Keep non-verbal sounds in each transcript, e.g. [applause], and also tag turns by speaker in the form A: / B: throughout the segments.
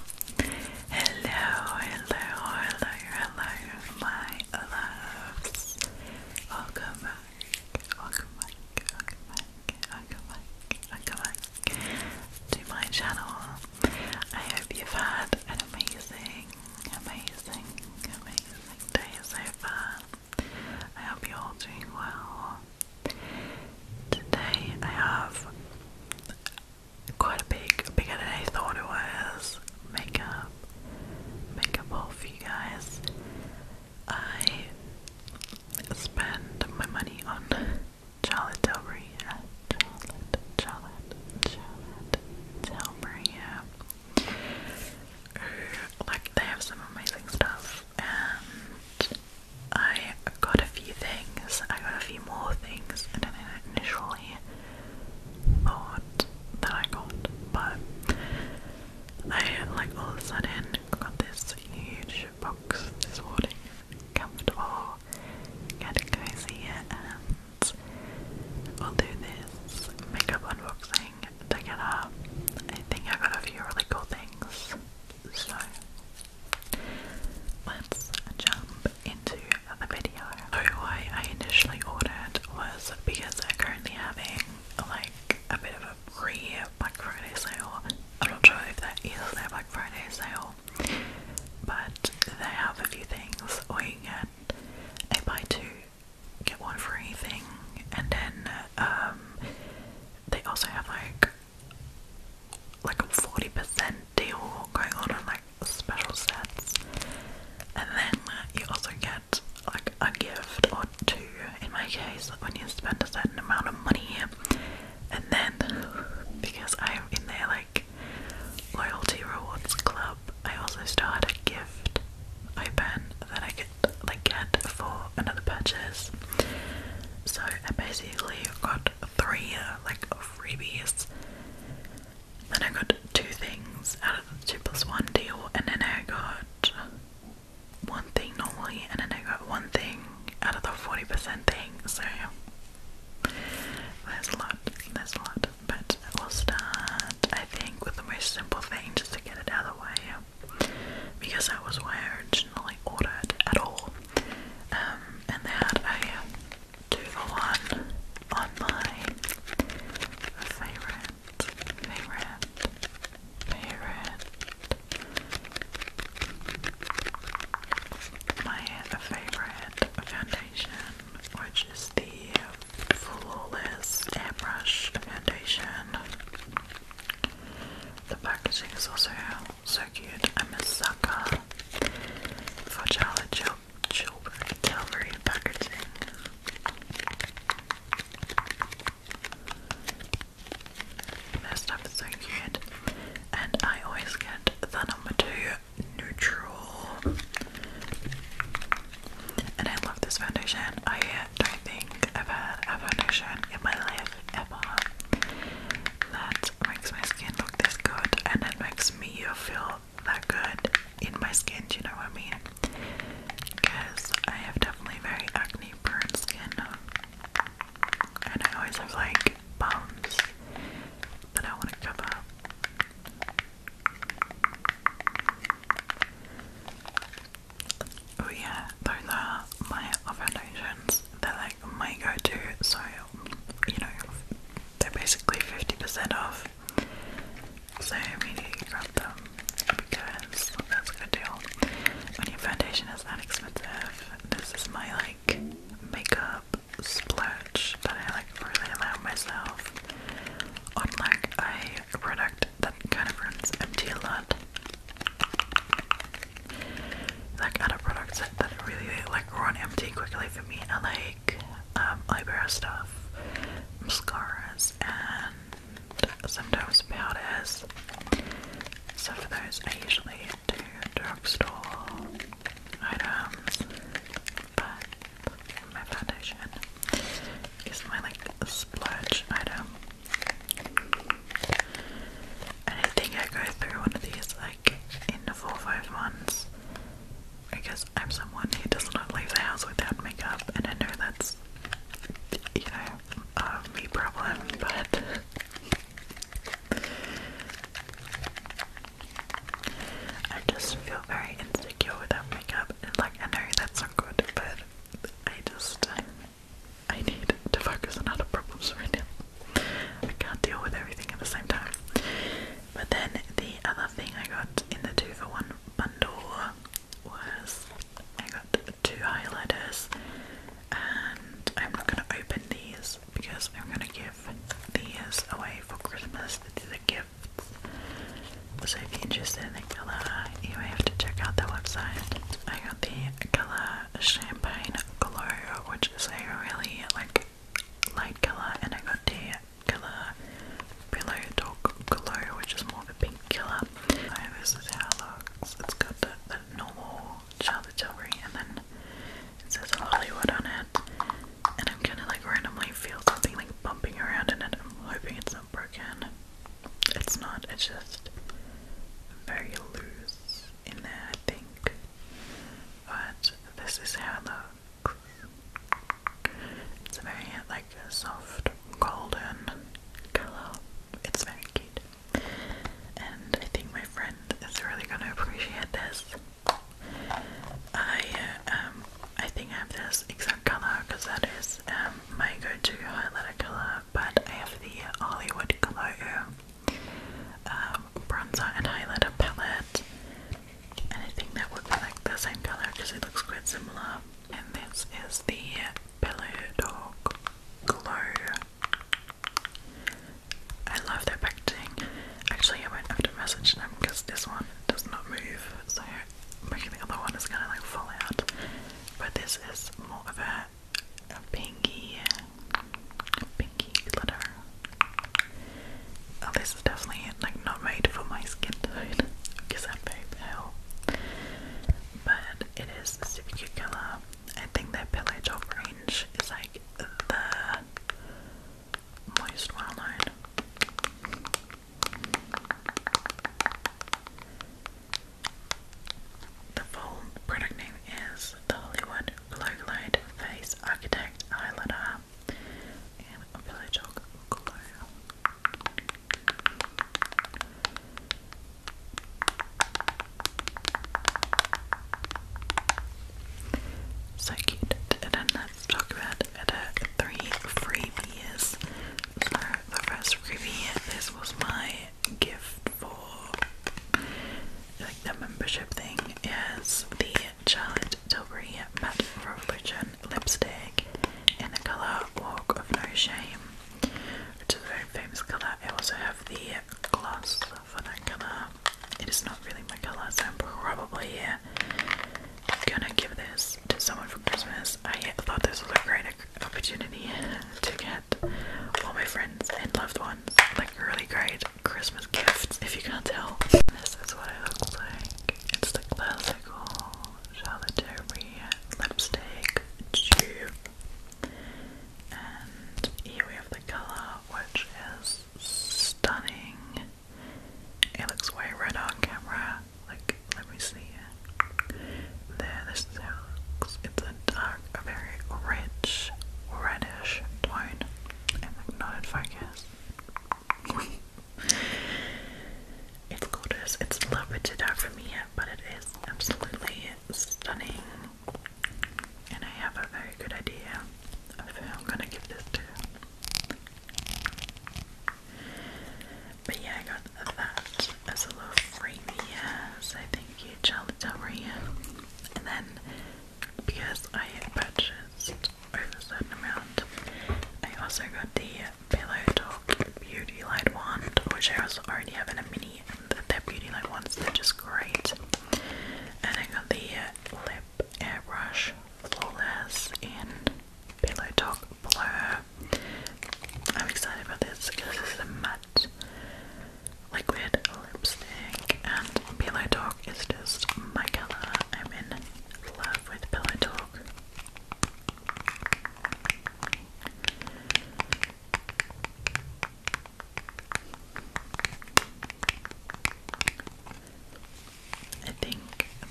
A: Hello, hello, hello, hello, my loves. Welcome back, welcome back, welcome back, welcome back, welcome back to my channel. I hope you've had an amazing, amazing, amazing day so far. I hope you're all doing well. Today I have quite a big, bigger than I thought it was makeup, makeup haul for you guys. I spend my money on Charlotte Tilbury, yeah. Charlotte, Charlotte, Charlotte Tilbury, yeah. Like, they have some amazing stuff, and I got a few things, I got a few more things than I initially thought that I got, but I like all of a sudden got this huge box this morning, comfortable, get cozy, and we'll do this makeup unboxing together. I think I got a few really cool things, so let's jump into the video. So I initially ordered was because they're currently having like a bit of a pre Black Friday sale. I'm not sure if that is their Black Friday sale, but they have a few things where you can get a buy two, get one free thing, and then um, they also have like like a 40% deal going on on like special sets and then you also get like a gift or two in my case when you spend a certain amount of money and then because I'm in their like loyalty rewards club I also start a gift open that I could like get for another purchase so I basically got three like of Then I got two things out of the two plus one deal, and then I got one thing normally, and then I got one thing out of the 40% thing. So there's a lot, there's a lot. But we'll start, I think, with the most simple thing just to get it out of the way because that was why I originally ordered at all. Um, and they had a two for one on my favourite, favourite, favourite, my favourite foundation, which is the Flawless Airbrush Foundation. The packaging is also so cute. I'm a sucker for Charlotte Chil Chilbury Calvary packaging. Their stuff is so cute. And I always get the number two neutral. And I love this foundation. I don't think I've had a foundation in my life ever that makes my skin look this good and it makes me feel that good in my skin, do you know what I mean? Because I have definitely very acne prone skin and I always have like bumps that I want to cover. Oh yeah, those are my foundations. They're like my go-to, so you know they're basically 50% off. So I immediately grab them because that's a good deal. When your foundation is that expensive, this is my like makeup splurge that I like really allow myself on like a product that kind of runs empty a lot like other products that, really like run empty quickly for me I like um, eyebrow stuff, mascaras, and sometimes powders. So for those, I usually do drugstore items, but my foundation is my like splurge item. And I think I go through one of these like in four five months because I'm someone who does not leave the house without makeup, and I know that's you know a me problem, but. I just feel very insecure without makeup, and like I know that's not good, but I just I need to focus on other problems right now. I can't deal with everything at the same time. But then the other thing I got in the two for one bundle was I got two highlighters, and I'm not going to open these because I'm going to give these away for Christmas. as a gift. So if you're interested in the colour, you have to check out the website. I got the colour Champagne Glow, which is a really like light colour, and I got the colour Pillow Talk Glow, which is more of a pink colour. So this is how it looks. It's got the, the normal Charlotte Tilbury, and then it says Hollywood on it. And I'm kind of like randomly feel something like bumping around in it. I'm hoping it's not broken. It's not, it's just very loose in there, I think. But this is how It's a very, like, soft golden color. It's very cute. And I think my friend is really gonna appreciate this. I um I think I have this exact color because that is um my go-to highlighter color but I have the Hollywood Glow um, bronzer and highlighter palette, and that would like the same color because it looks quite similar. And this is the Pillow Dog Glow. I love their packaging. Actually, I will have to message them because this one does not move, so maybe the other one is gonna like fall out. But this is more of a a pinky, pinky glitter. Oh, this is definitely like not made for my skin tone because [laughs] I'm very pale. But it is super cute I think their Palette Top range is like the most well known. The full product name is the Hollywood Glow Glide Face Architect Eyeliner and Pillow Chalk Glow. So cute. And let's talk about the three freebies. the first freebie, this was my gift for like the membership thing is the Charlotte Tilbury Matte Revolution lipstick in the colour Walk of No Shame, which is a very famous colour. I also have the gloss for that colour. It is not really my colour, so I'm probably uh, gonna give this to someone for Christmas I thought this was a great opportunity to get all my friends and loved ones like really great Christmas gifts. If you can't tell, this is what it looks like. It's the classical Charlotte Tilbury lipstick tube, and here we have the color, which is stunning. It looks way red on camera, like let me see. There, this looks. It's a dark, a very rich, reddish tone. not in focus. it's gorgeous. It's a little bit too dark for me yet, but it is absolutely stunning. And I have a very good idea of who I'm gonna give this to. But yeah, I got that as a little frame he has. I think he And then because I purchased over a certain amount, I also got the Pillow Talk Beauty Light Wand, which I also already have a mini, and their beauty light wands, they're just great. And I got the lip airbrush, flawless and Pillow Talk Blur. I'm excited about this because this is a matte liquid lipstick and Pillow Talk is just my colour. I'm in love with Pillow Talk. I think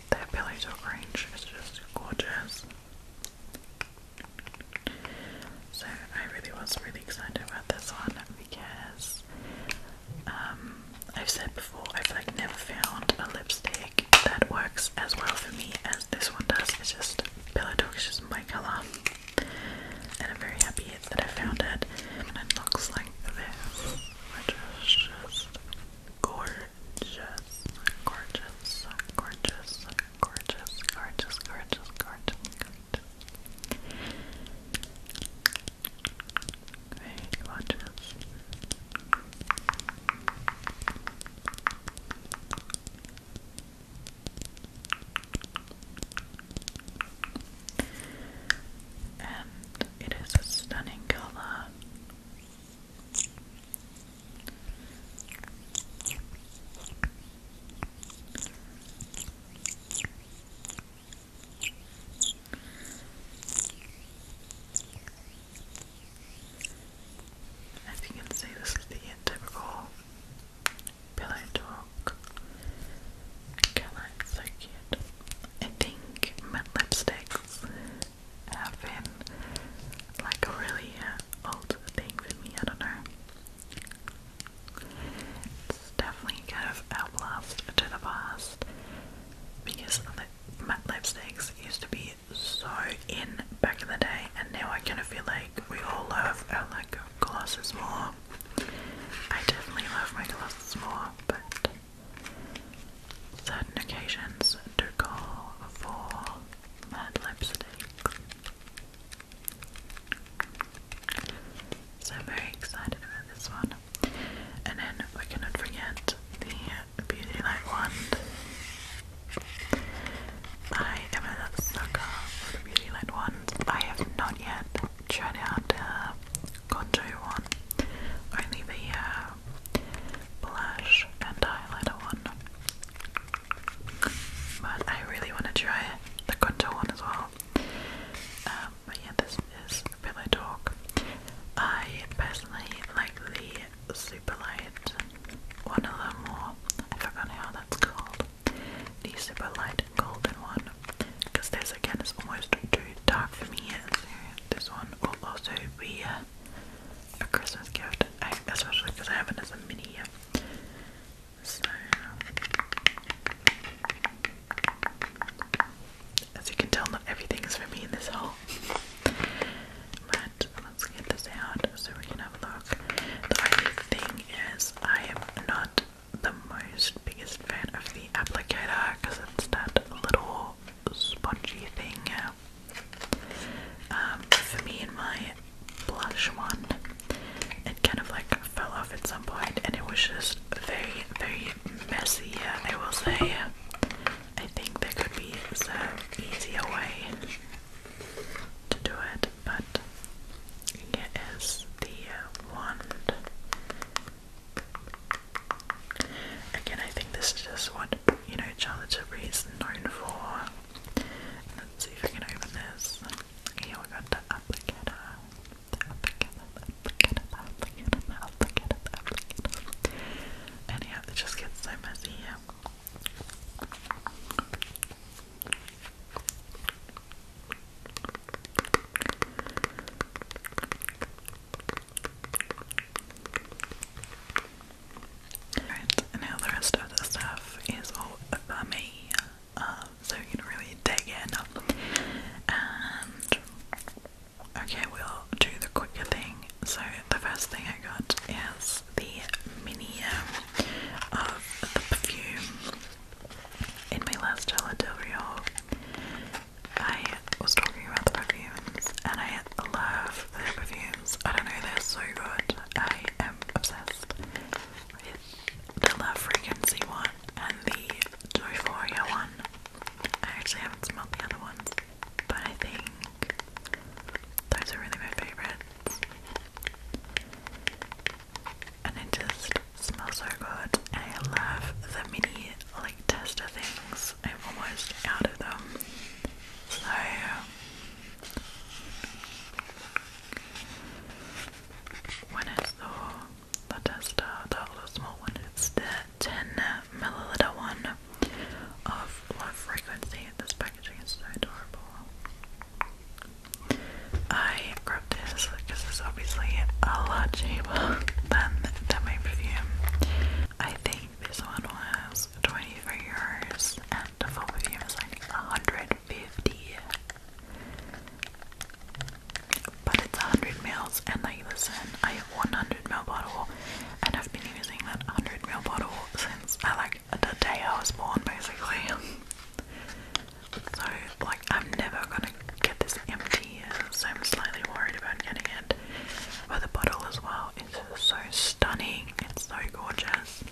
A: their Pillow Talk range is just gorgeous. So I really was really excited about this one because um, I've said before I've like never found a lipstick that works as well for me as this one does. It's just Pillow Talk is just my colour. And I'm very happy that I found it. And it looks like this, which is just gorgeous, gorgeous, gorgeous, Gorgeous, gorgeous, gorgeous, gorgeous, gorgeous. And it is a stunning color. As you can see, this is the typical pillow talk. Colour, so cute. I think matte lipsticks have been like a really uh, old thing for me, I don't know. It's definitely kind of outlast to the past because matte lipsticks used to be so in back in the day and now I kind of feel like we all love our like glosses more. I definitely love my glosses more, but certain occasions do call for matte lipstick. So I'm very excited about this one. And then we cannot forget the Beauty Light wand. I am a sucker for Beauty Light wand. I have not yet tried out the contour one. Only the uh, blush and highlighter one. But I really want to try the contour one as well. Um, but yeah, this is Pillow Talk. I personally like the super light one of them more. I forgot how that's called. The super light golden one. Because this again is almost too dark for me. this one will also be a Christmas gift, especially because I have it as a mini. So, as you can tell, everything is for me in this haul. But let's get this out so we can have a look. The only thing is, I am not the most biggest fan of the applicator because it's that little spongy thing. Um, for me and my blush one, it kind of like fell off at some point and it was just very, very messy, I will say. I think there could be some easier way to do it, but here is the wand. Again, I think this is just what you know Charlotte Tilbury is known for. Let's see if we can open this. Here we got the applicator. The applicator, the applicator, the applicator, the applicator, the applicator. And yeah, it just gets so messy here. Alright, now the rest of the stuff is all for me, um, so you can really dig in. And okay, we'll do the quicker thing. So the first thing I got is the mini of the perfume. In my last Gala I was talking about the perfumes, and I love their perfumes. I don't know, they're so good. I am obsessed with the Love Frequency one and the Euphoria one. I actually haven't smelled the other ones, but I think those are really my favourites. And it just smells so good. I love the mini like tester things. I'm almost out of them. So when I saw the tester, uh, the little small one, it's the 10 milliliter one of low frequency. This packaging is so adorable. I grabbed this because it's obviously a lot cheaper [laughs] than the Demi perfume. I think this one was 24 euros and the full is like 150 but it's 100 mils and like listen, I have 100 mil bottle and I've been using that 100 mil bottle since I uh, like the day I was born basically [laughs] so like I'm never gonna get this empty ideas. I'm slightly worried about getting it. But the bottle as well is so stunning. It's so gorgeous.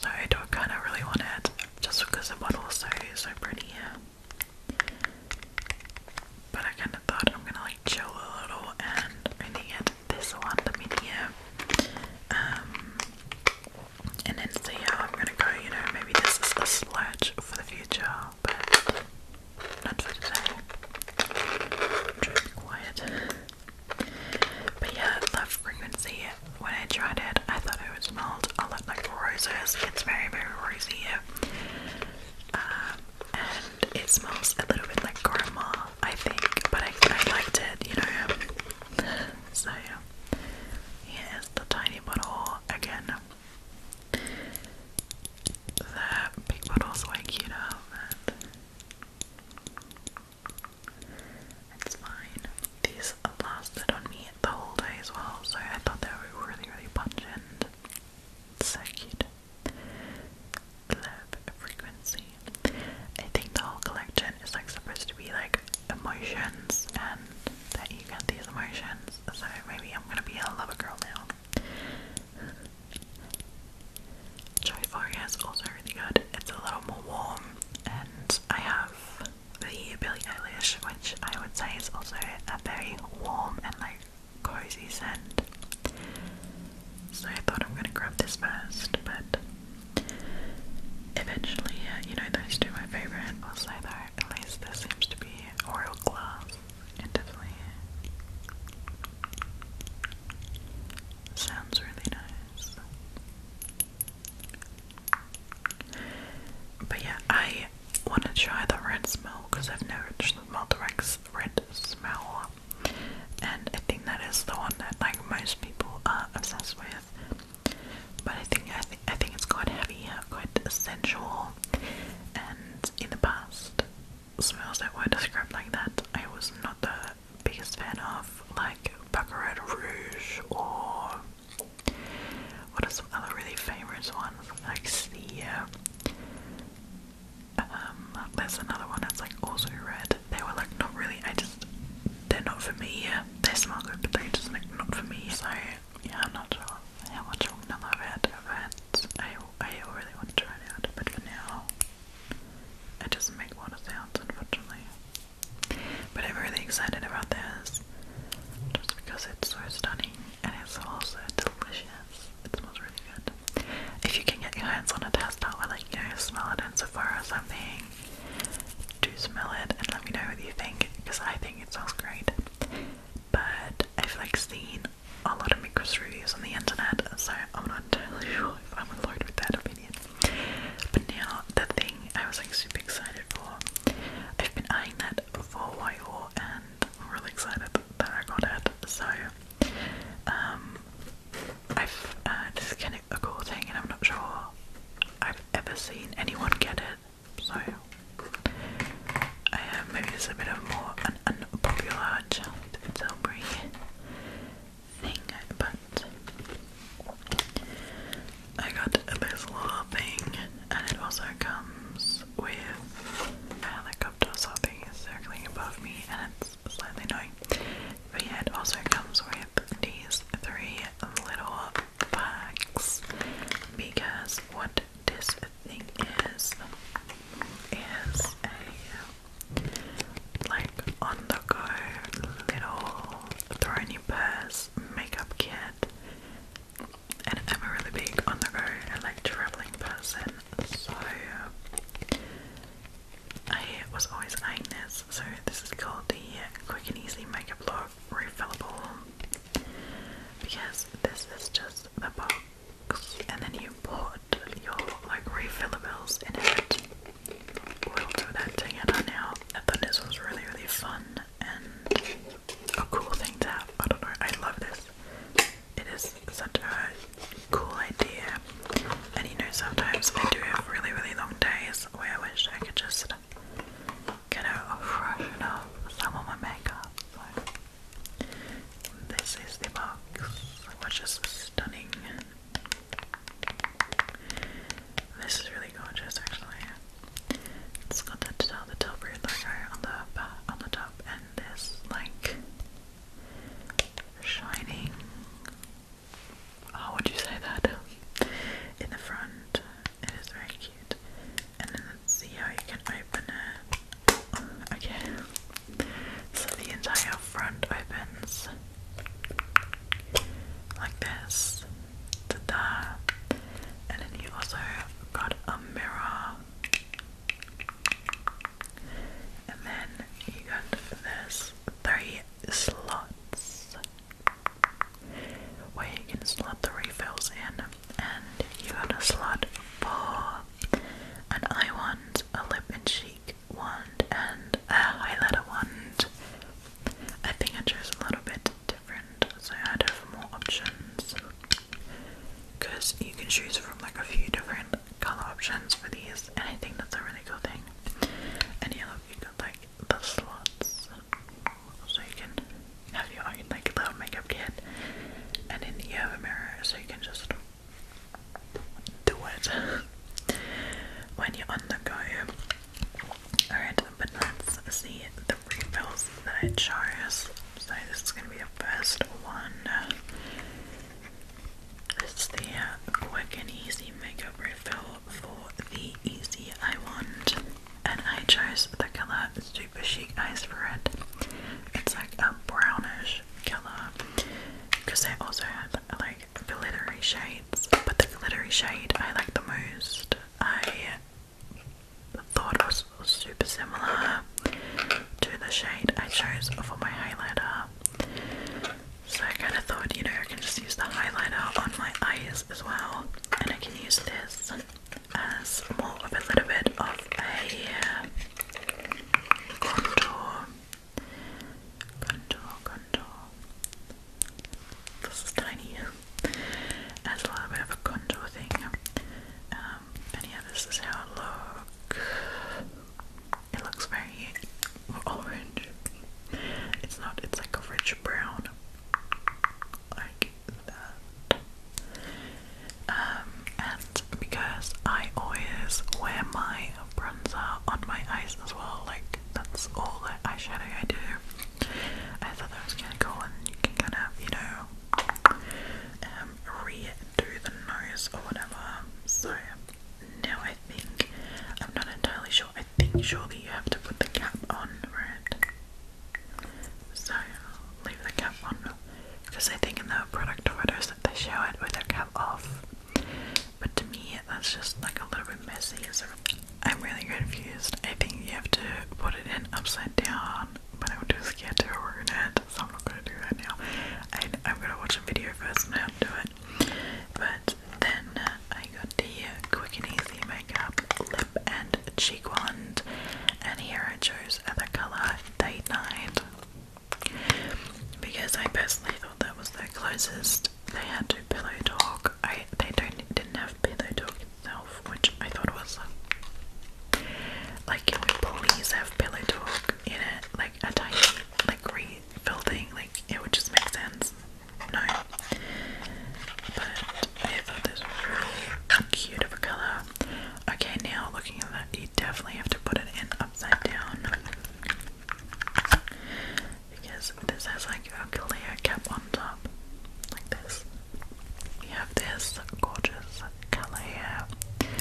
A: So I do kind of really want it just because the bottle is so, pretty. But I kind of thought I'm going to like chill a little and only get this one, the mini um, And then see how I'm going to go. You know, maybe this is a sledge for the future not for today. I'm trying to be quiet. But yeah, love frequency. When I tried it, I thought it would smell a lot like roses. It's very, very rosy. Um, and it smells a little bit like grandma, I think. But I, I liked it, you know. So yeah, here's the tiny bottle again. That big bottle's way cute out It's fine. These lasted on me the whole day as well, so I thought they were really, really pungent. So cute. Love frequency. I think the whole collection is like supposed to be like emotions and that you get these emotions. So maybe I'm gonna be a lover girl now. Joyfar is also really good. It's a little more warm, and I have the Billie Eilish, which I would say is also a very warm and like cozy scent. So I thought I'm gonna grab this first, but eventually, uh, you know, those two my favorite. Also, though, at least there seems to be Royal Glass definitely sounds really nice. But yeah, I want to try the red smell because I've never smelled the red smell, and I think that is the one that like most people are obsessed with. But I think I think I think it's quite heavy, quite sensual, and in the past smells that were described like that, I was not the biggest fan of, like Baccarat Rouge or what is other really famous ones? Like um, there's another one that's like also red. They were like not really. I just they're not for me. They smell good, but they're just like not for me. So yeah, I'm not sure how much I'll I I really want to try it out, but for now, it does make water sounds, unfortunately. But I'm really excited about this, just because it's so stunning and it's also delicious. It smells really good. If you can get your hands on a tester or like you know, smell it in Sephora or something, do smell it and let me know what you think, because I think it smells great. But I've like seen a lot of Micros reviews on the internet, so I'm not entirely [laughs] sure if I'm alone with that opinion. But now, the thing I was like super excited for, I've been eyeing that for a while, and really excited that I got it. So, um, I've uh, this is a cool and I'm not sure I've ever seen anyone get it. So uh, maybe it's a bit of more an unpopular Charlotte Tilbury thing, but I got a Bizzler thing, and it also comes with a helicopter something circling above me, and it's slightly annoying. But it also comes with these three little bags because what this thing is is a like on the go little throwing purse makeup kit and I'm a really big on the go and like traveling person so uh, I was always eyeing this so this is called the quick and easy makeup look refillable because this is just the box and then you put your like refillables in it. We'll do that together now. I this was really really fun and a cool thing to have. I don't know, I love this. It is such a cool idea. And you know sometimes I do have really really long days where I wish I could just you know, freshen up some of my makeup. this is the box, which is stunning. This is really gorgeous, actually. It's got the, the Tilbury logo on the on the top, and this like shining. How would you say that? In the front, it is very cute, and in see how you can open it. Um, okay, so the entire front opens like this to there, and then you also got a mirror, and then you got this three slots where you can slot the refills in and you got a slot for an eye wand, a lip and cheek wand, and a highlighter wand. I think I chose a little bit different, so I'd have more options. Because you can choose from like a few different colour options for these, and I think that's a really cool thing. And yeah, you got like the slots so you can have your own like little makeup kit, and then you have a mirror so you can just do it when you're on the go. Alright, but let's see the refills that I chose. So this is gonna be the first one. This is the uh, quick and easy makeup refill for the Easy I Want, and I chose the color super chic eyes for it. It's like a brownish color because they also had like glittery shades, but the glittery shade I like the most. I thought was super similar to the shade I chose for my highlighter. So I kind of thought, you know, I can just use the highlighter on my eyes as well, and I can use this uh, as more of a little bit of a uh, contour. Contour, contour. This is tiny. As a little bit of a contour thing. Um, and yeah, this is how it looks. It looks very orange. It's not, it's like a rich brown. Like, um, and because I always wear my bronzer on my eyes as well, like that's all the eyeshadow I do. I thought that was kinda cool and you can kind of, you know, um, redo the nose or whatever. So now I think I'm not entirely sure. I think surely you have to put the cap on, right? So I'll leave the cap on because I think in the product photos they show it with their cap off. But to me, that's just like a little bit messy. So I'm really confused. I think you have to put it in upside down, but I'm too scared to ruin it, so I'm not gonna do that now. I, am gonna watch a video first and how to do it. But then I I got the Quick and Easy Makeup Lip and Cheek Wand, and here I chose the colour Date Night because I personally thought that was the closest they had to Pillow Talk. I they don't didn't have Pillow Talk itself, which I thought was like can we please have Pillow Talk in it, like a tiny like refill thing, like it would just make sense no. But I thought this was really cute of a colour. Okay, now looking at that, you definitely have to put it in upside down. Because this has like a clear cap on top, like this. You have this gorgeous colour here.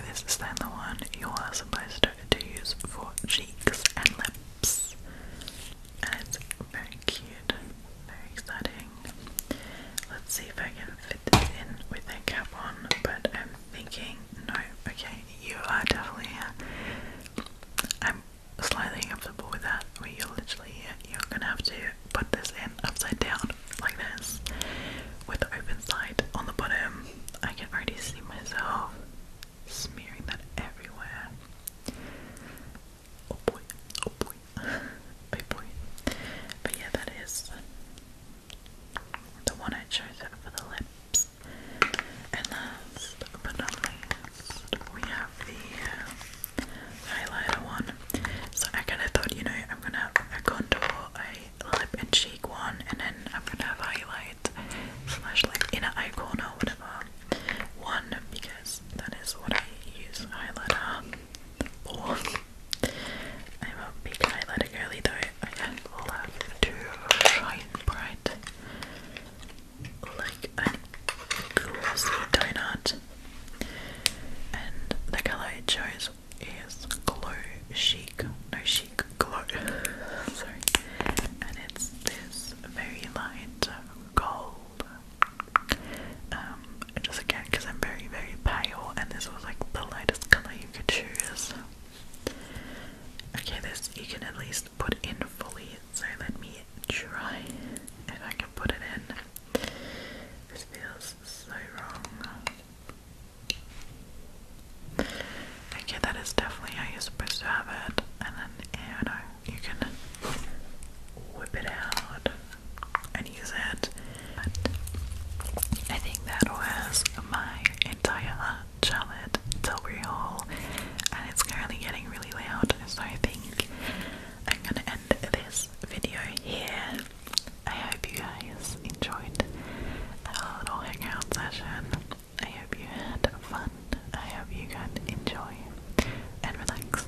A: This is then the one you are supposed to use for cheeks and lips. It's very cute, very exciting. Let's see if I can fit this in with a cap on, but I'm thinking no. Okay, you are definitely I'm slightly uncomfortable with that. Where you're literally you're gonna have to put this in upside down like this, with the open side on the bottom. I can already see myself smearing that everywhere. Oh boy, oh boy, oh [laughs] boy. But yeah, that is the one I chose for the lips. And last but not least, we have the uh, highlighter one. So I kind of thought, you know, I'm gonna have a contour, a lip and cheek one, and then I'm gonna have highlight slash like inner eye corner or whatever one because is that is what I use highlighter for. I'm a big highlighter girly though. I love to shine bright like a glossy donut. And the colour I chose is Glow Chic. No Chic Glow. [laughs] Sorry. And it's this very light gold um, just again, because I'm very, very pale, and this was like the lightest color you could choose. Okay, this you can at least put in fully, so let me try if I can put it in. This feels so wrong. Okay, that is definitely how you're supposed to have it, and then, yeah, no, you can whip it out and use it. I think that was my entire Charlotte Tilbury haul, and it's currently getting really loud, so I think I'm gonna end this video here. I hope you guys enjoyed our little hangout session. I hope you had fun I hope you can enjoy and relax.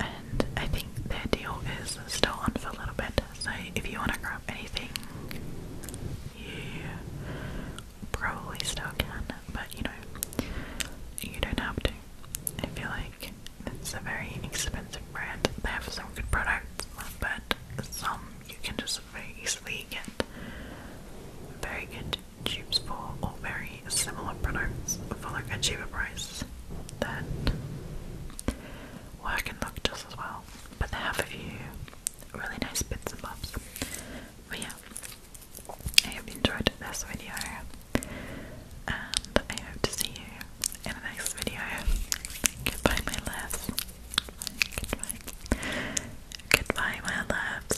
A: And I think their deal is still on for a little bit, so if you want to grab anything, you probably still can, but you know, you don't have to. I feel like it's a very expensive brand. They have some good products, but some you can just very easily get very good tubes for or very similar products for a cheaper price that work and look just as well. But they have a few really nice bits and bobs. But yeah, I hope you enjoyed this video and I hope to see you in the next video. Goodbye my loves. Goodbye. Goodbye my loves.